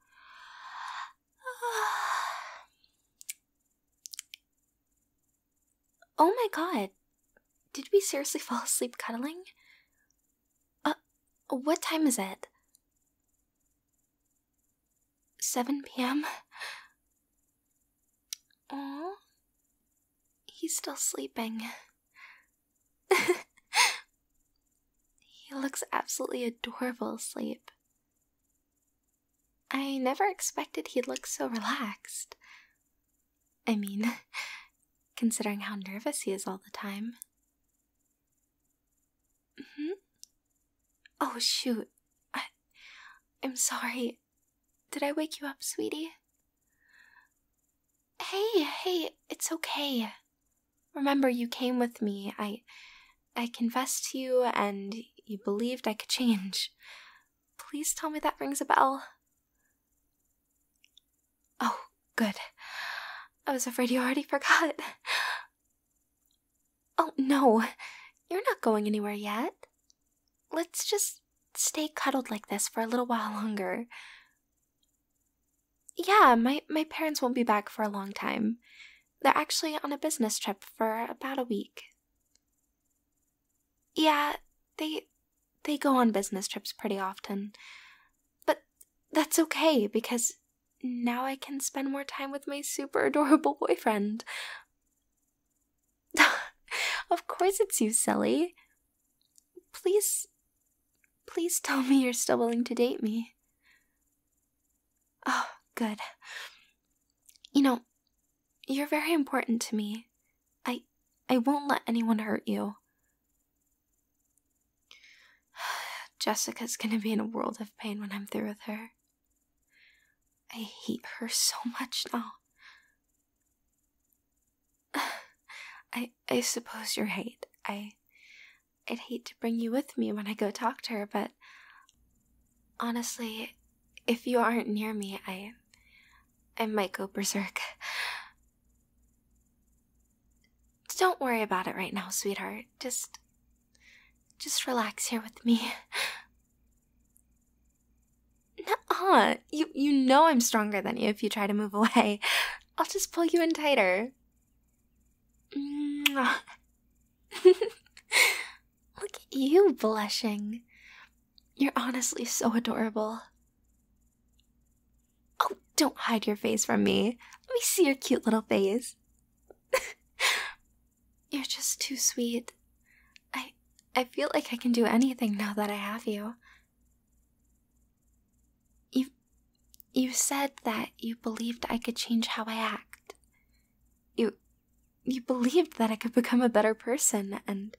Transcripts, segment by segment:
oh my god. Did we seriously fall asleep cuddling? Uh, what time is it? 7 p.m.? Aww. He's still sleeping. he looks absolutely adorable asleep. I never expected he'd look so relaxed. I mean, considering how nervous he is all the time. hmm? Oh, shoot. I, I'm sorry. Did I wake you up, sweetie? Hey, hey, it's okay. Remember, you came with me. I. I confessed to you, and you believed I could change. Please tell me that rings a bell. Oh, good. I was afraid you already forgot. Oh, no. You're not going anywhere yet. Let's just stay cuddled like this for a little while longer. Yeah, my, my parents won't be back for a long time. They're actually on a business trip for about a week. Yeah, they they go on business trips pretty often. But that's okay because now I can spend more time with my super adorable boyfriend. of course it's you, silly. Please, please tell me you're still willing to date me. Oh, good. You know, you're very important to me. I I won't let anyone hurt you. Jessica's gonna be in a world of pain when I'm through with her. I hate her so much now. I I suppose you're right. I I'd hate to bring you with me when I go talk to her, but honestly, if you aren't near me, I I might go berserk. Don't worry about it right now, sweetheart. Just just relax here with me. nuh You you know I'm stronger than you if you try to move away. I'll just pull you in tighter. Look at you blushing. You're honestly so adorable. Oh, don't hide your face from me. Let me see your cute little face. You're just too sweet. I I feel like I can do anything now that I have you. You, you said that you believed I could change how I act. You, you believed that I could become a better person and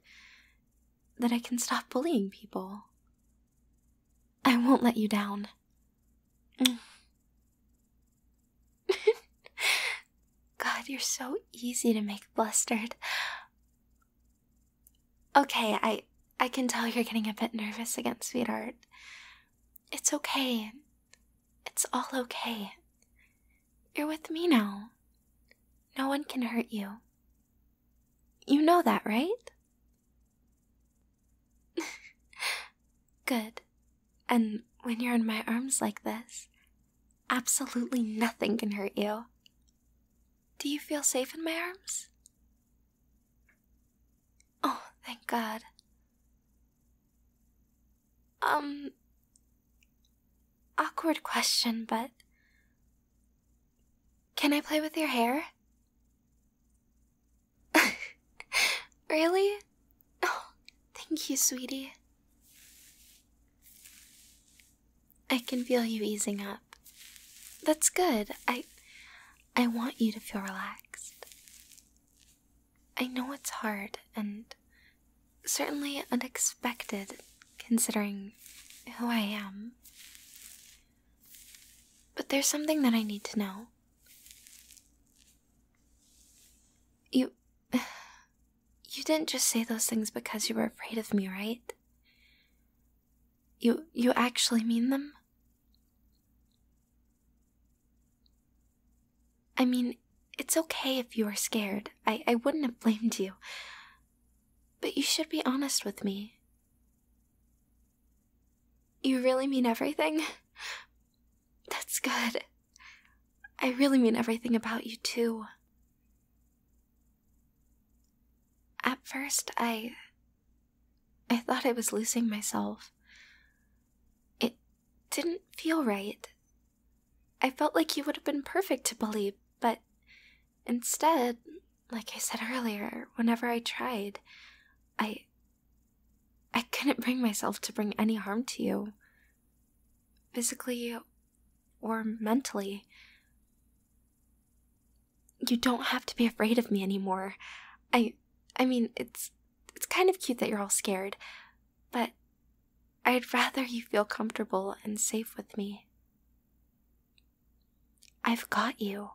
that I can stop bullying people. I won't let you down. God, you're so easy to make blustered. Okay, I I can tell you're getting a bit nervous again, sweetheart. It's okay. It's all okay. You're with me now. No one can hurt you. You know that, right? Good. And when you're in my arms like this, Absolutely nothing can hurt you. Do you feel safe in my arms? Oh, thank God. Um, awkward question, but can I play with your hair? really? Oh, thank you, sweetie. I can feel you easing up. That's good. I I want you to feel relaxed. I know it's hard and certainly unexpected considering who I am. But there's something that I need to know. You you didn't just say those things because you were afraid of me, right? You you actually mean them? I mean, it's okay if you are scared. I, I wouldn't have blamed you. But you should be honest with me. You really mean everything? That's good. I really mean everything about you, too. At first, I. I thought I was losing myself. It didn't feel right. I felt like you would have been perfect to believe, but instead, like I said earlier, whenever I tried, I. I couldn't bring myself to bring any harm to you. Physically or mentally. You don't have to be afraid of me anymore. I I mean, it's it's kind of cute that you're all scared, but I'd rather you feel comfortable and safe with me. I've got you.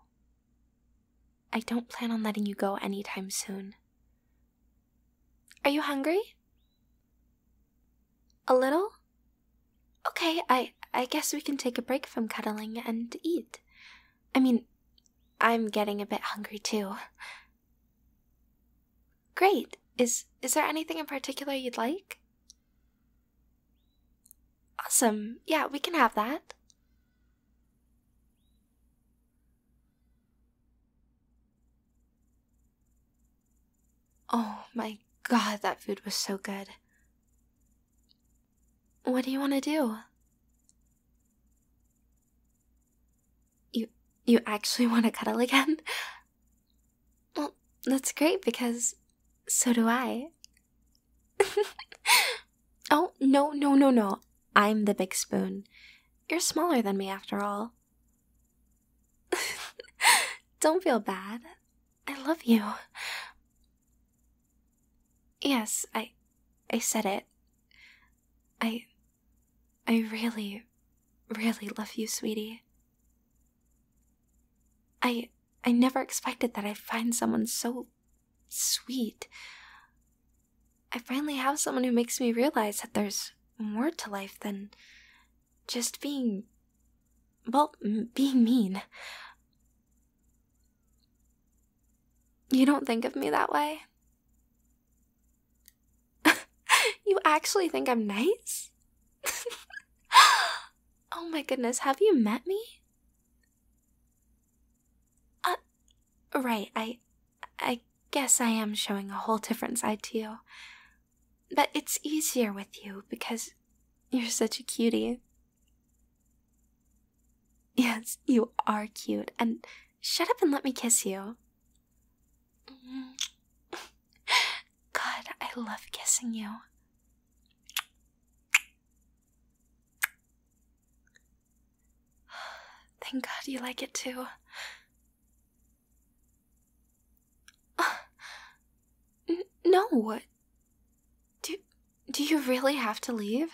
I don't plan on letting you go any time soon. Are you hungry? A little? Okay, I I guess we can take a break from cuddling and eat. I mean, I'm getting a bit hungry too. Great. Is is there anything in particular you'd like? Awesome. Yeah, we can have that. Oh my god, that food was so good. What do you want to do? You you actually want to cuddle again? Well, that's great because so do I. oh, no, no, no, no. I'm the big spoon. You're smaller than me after all. Don't feel bad. I love you. Yes, I I said it. I I really really love you, sweetie. I I never expected that I'd find someone so sweet. I finally have someone who makes me realize that there's more to life than just being. well, being mean. You don't think of me that way? you actually think I'm nice? oh my goodness, have you met me? Uh, right, I. I guess I am showing a whole different side to you. But it's easier with you because you're such a cutie. Yes, you are cute. And shut up and let me kiss you. God, I love kissing you. Thank God you like it too. Uh, no. Do, do you really have to leave?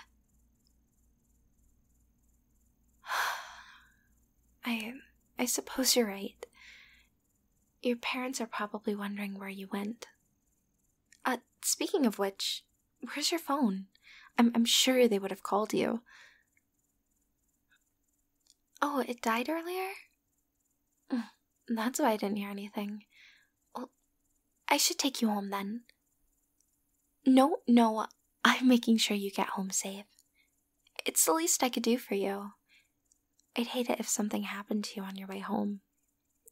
I, I suppose you're right. Your parents are probably wondering where you went. Uh, speaking of which, where's your phone? I'm, I'm sure they would have called you. Oh, it died earlier? That's why I didn't hear anything. I should take you home then. No, no, I'm making sure you get home safe. It's the least I could do for you. I'd hate it if something happened to you on your way home.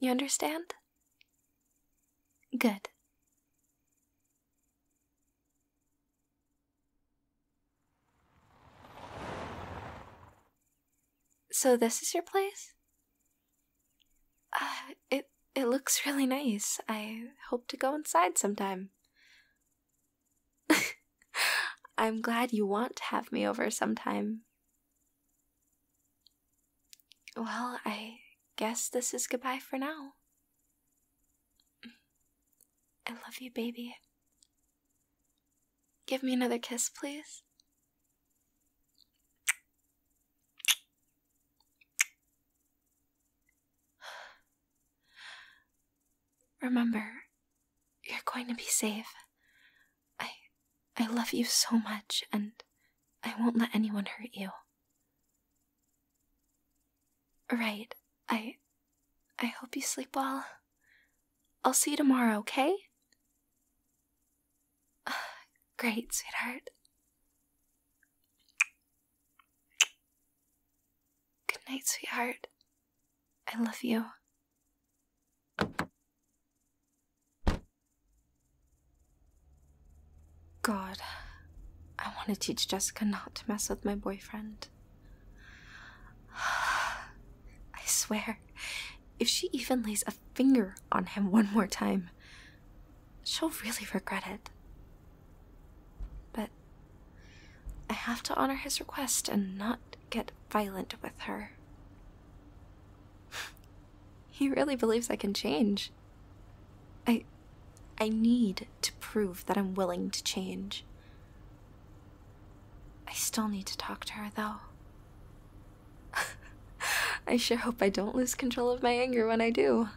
You understand? Good. So this is your place? Uh, it it looks really nice. I hope to go inside sometime. I'm glad you want to have me over sometime. Well, I guess this is goodbye for now. I love you, baby. Give me another kiss, please. Remember, you're going to be safe. I I love you so much and I won't let anyone hurt you. Right. I I hope you sleep well. I'll see you tomorrow, okay? great, sweetheart. Good night, sweetheart. I love you. God, I want to teach Jessica not to mess with my boyfriend. I swear, if she even lays a finger on him one more time, she'll really regret it. But I have to honor his request and not get violent with her. he really believes I can change. I I need to prove that I'm willing to change. I still need to talk to her, though. I sure hope I don't lose control of my anger when I do.